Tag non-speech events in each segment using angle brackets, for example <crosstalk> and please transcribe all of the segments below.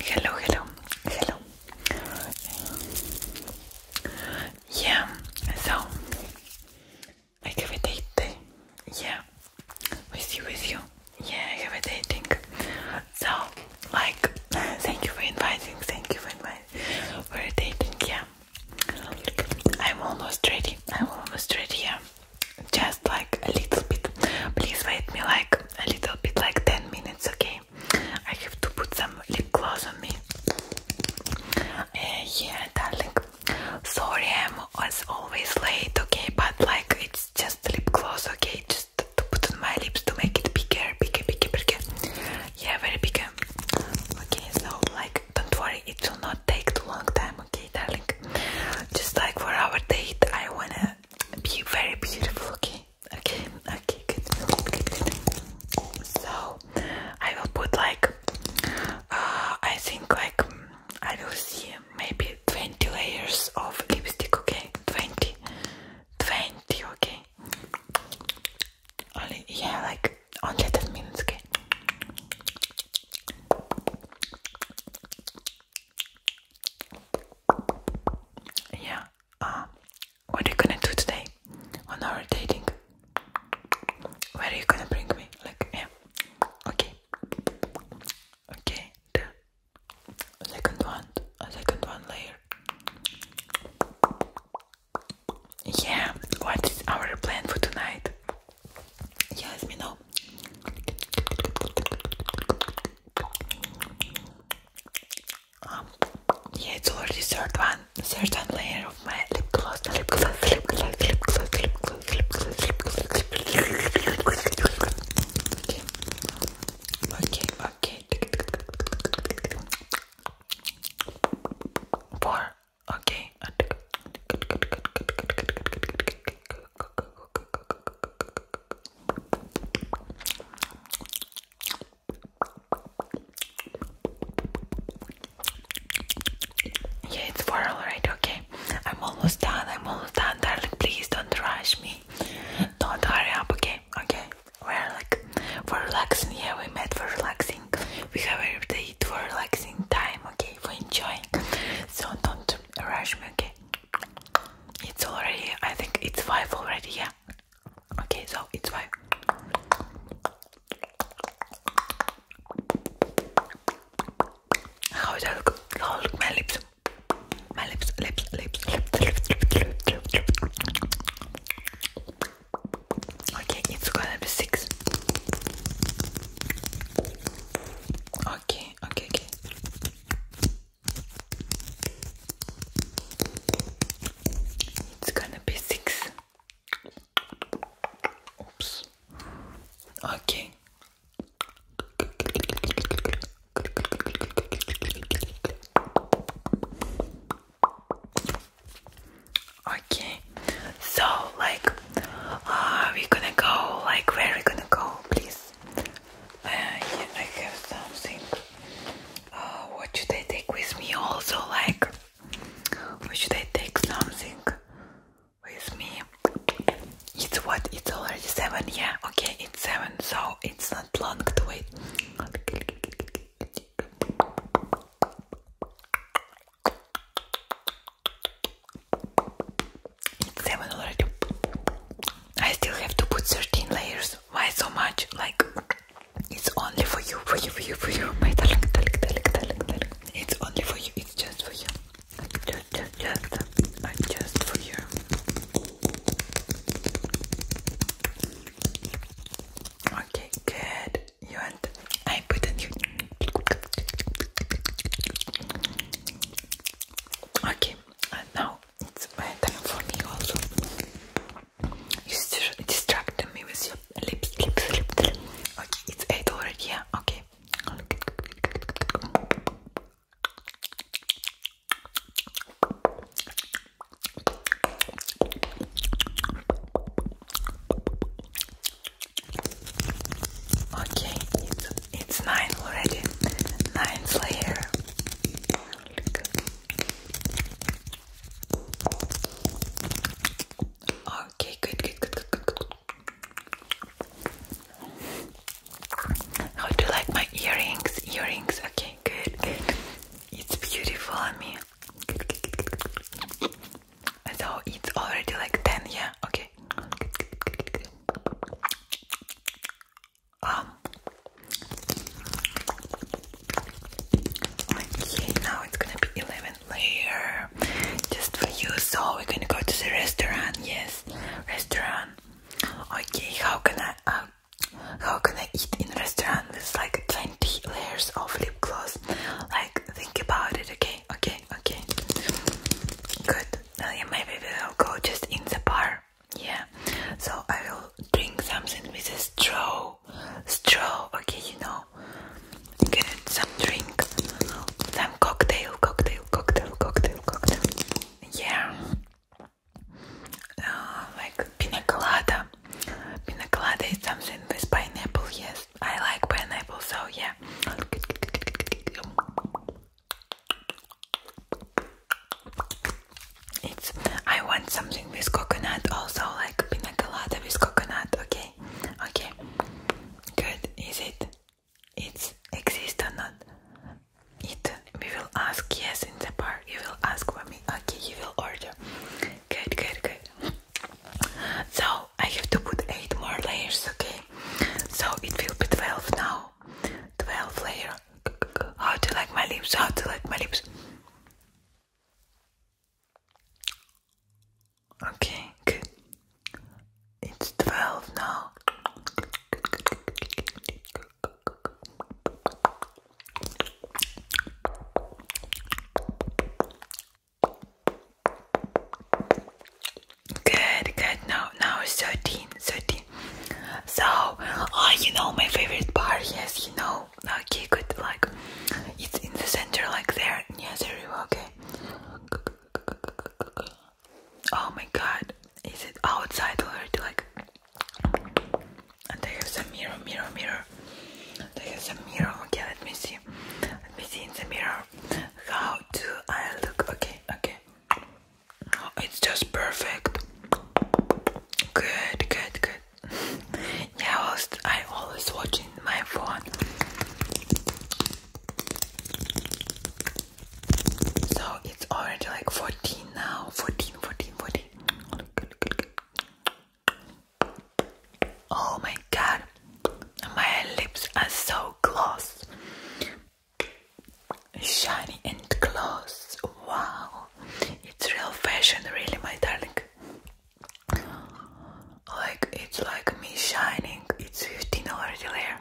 Hello, hello, hello. Yeah, so I have a date. Yeah, with you, with you. Yeah, I have a dating. So, like, thank you for inviting. Thank you for inviting for a dating. Yeah, I'm almost ready. I'm almost ready. Yeah, just like a little bit. Please wait me like a little bit like 10 minutes, okay? I have to put some lip gloss on me. Eh, yeah, darling. Sorry, I'm as always late, okay? But like, it's just lip gloss, okay? Just to put on my lips to make it bigger, bigger, bigger, bigger. Yeah, very bigger. Okay, so like, don't worry, it will not take too long time, okay, darling? Just like for our date, I wanna be very beautiful, okay? Okay, okay, good, good, good. So, I will put like, uh, I think like, I will see maybe 20 layers of lipstick, okay? 20, 20, okay? Only, yeah, like, only 10 minutes, okay? Yeah. Uh, what are you gonna do today on our dating? Where are you gonna bring me? Like, yeah. Okay. Okay. The second one. A second one layer. Yeah. What is our plan for tonight? yes me know um, yeah, it's already third one, certain layer of my lip gloss, lip gloss, lip gloss, lip gloss, lip gloss, lip gloss, lip gloss, lip gloss, lip gloss. Okay, okay, okay. Four, okay. Yeah, it's far, alright, okay. I'm almost done, I'm almost done, darling. Please don't rush me. Don't hurry up, okay? Okay. We're like for relaxing, yeah, we met for relaxing. We have a every day for relaxing time, okay, for enjoying. So don't rush me, okay? It's already, I think it's 5 already, yeah? Okay, so it's 5. How does look? How look my lips? My lips, lips, lips, lips. Okay, it's gonna be six. Okay, okay, okay. It's gonna be six. Oops. Okay. Okay, so like, uh, we're gonna go, like, where are we gonna go, please? Uh, I have something. Uh, what should I take with me also, like, what should I take something with me? It's what? It's already 7, yeah, okay, it's 7, so it's not long to wait. 7 already. I still have to put 13 layers. Why so much? Like, it's only for you, for you, for you, for you. My darling, darling, darling, darling, darling. It's only for you, it's just for you. Just, just, just, uh, just for you. Okay, good you and I put on you. Okay, and now it's my time for me also. You distracted me with your lips, lips, lips. Okay, it's 8 already, yeah? Okay. Okay, it's, it's nine already. Nine here. Okay, good, good, good, good, good, good. How do you like my earrings? Earrings, okay, good, good. It's beautiful I mean. So it's already like 10, yeah? Okay. Um, okay, now it's gonna be 11 later just for you. So we're gonna go to the restaurant, yes? Restaurant. Okay, how can I, how can I eat in a restaurant with like 20 layers of lip gloss? Like, think about it, okay? Okay, okay. Good. Well, uh, yeah, maybe we'll go just in the bar. Yeah. So I will drink something with a straw. Straw, okay, you know. Get some drink. Some cocktail, cocktail, cocktail, cocktail, cocktail. Yeah uh, like pina colada. is something with pineapple, yes. I like pineapple, so yeah. It's. I want something with coconut, also like pina colada with coconut. Okay, okay. Good. Is it? It's exist or not? it we will ask yes in the bar you will ask for me okay you will order good good good so i have to put eight more layers okay so it will be 12 now 12 layer how do you like my lips how do you like my lips okay good it's 12 now Good, good. Now, now it's 13, 13. So, oh, you know my favorite bar, yes, you know. Okay, good. Like, it's in the center, like there, near the river, okay. Oh my god, is it outside already? Like, I have some mirror, mirror, mirror. They have some mirror. Okay, let me see. Let me see in the mirror. How do I look? Okay, okay. it's just perfect. Good, good, good. <laughs> yeah, I, was, I always watching my phone. So it's already like 14 now. 14, 14, 14. Oh my god, my lips are so gloss, shiny and gloss. Wow, it's real fashion, really, my darling. Like it's like me shining. It's 15 already there.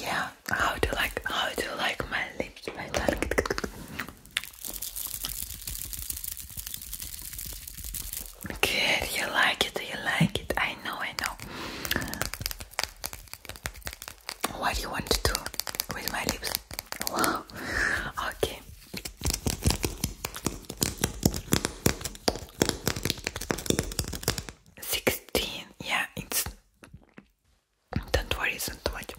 Yeah, how do you like how do you like my lips, my tongue? Good, you like it, you like it. I know, I know. What do you want to do with my lips? <laughs> Okay. Sixteen, yeah, don't worry, don't watch.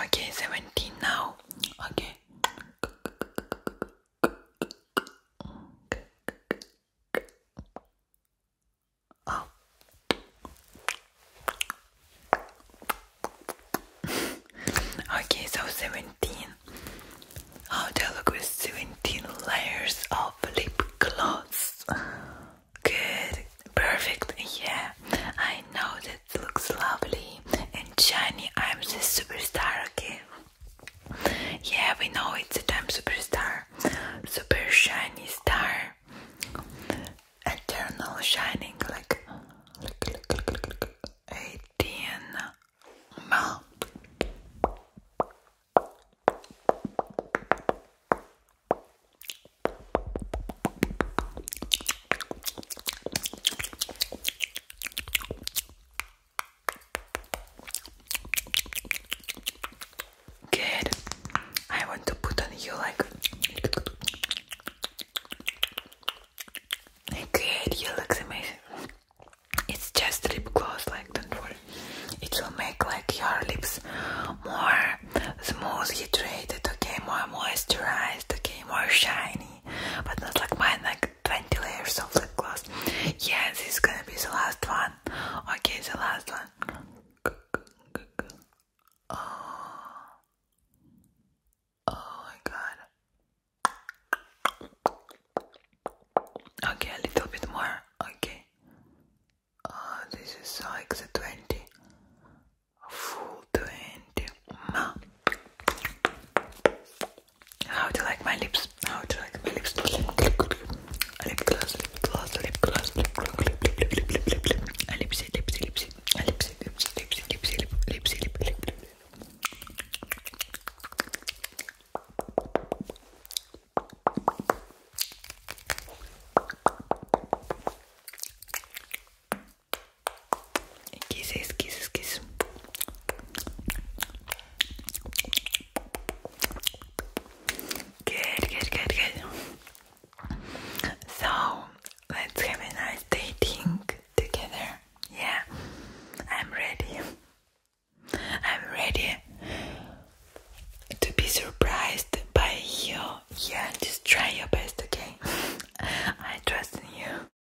Okay, seventeen now. Okay. Oh. okay, so 17. Oh, they look with 17 layers of lip gloss. Good, perfect. Yeah, I know that looks lovely and shiny. I'm the superstar, okay? Yeah, we know it's a time superstar, super shiny star, eternal shining like, like, like, like, like, like 18 mile. Good. I want to put on you like. Good, you look amazing. It's just lip gloss, like, don't worry. It will make like your lips more smooth, hydrated, okay, more moisturized, okay, more shiny, but not like mine, like 20 layers of lip gloss. Yeah, this is gonna be the last one. Okay, the last one. Oh, oh my god. Okay, a little bit more. Okay. Oh, this is like the 20. Full 20. How do you like my lips? How do you like my lips? Lip gloss, lip gloss, lip gloss, lip gloss, lip lip lip lip lip lip lip. Lipsy, lipsy, lipsy, lipsy, lipsy, lipsy, lipsy, lip, lipsy, lip, lip, lip. Kisses, kisses, kisses. Good, good, good, good. So, let's have a nice dating together. Yeah, I'm ready. I'm ready to be surprised by you. Yeah, just try your best, okay? <laughs> I trust in you.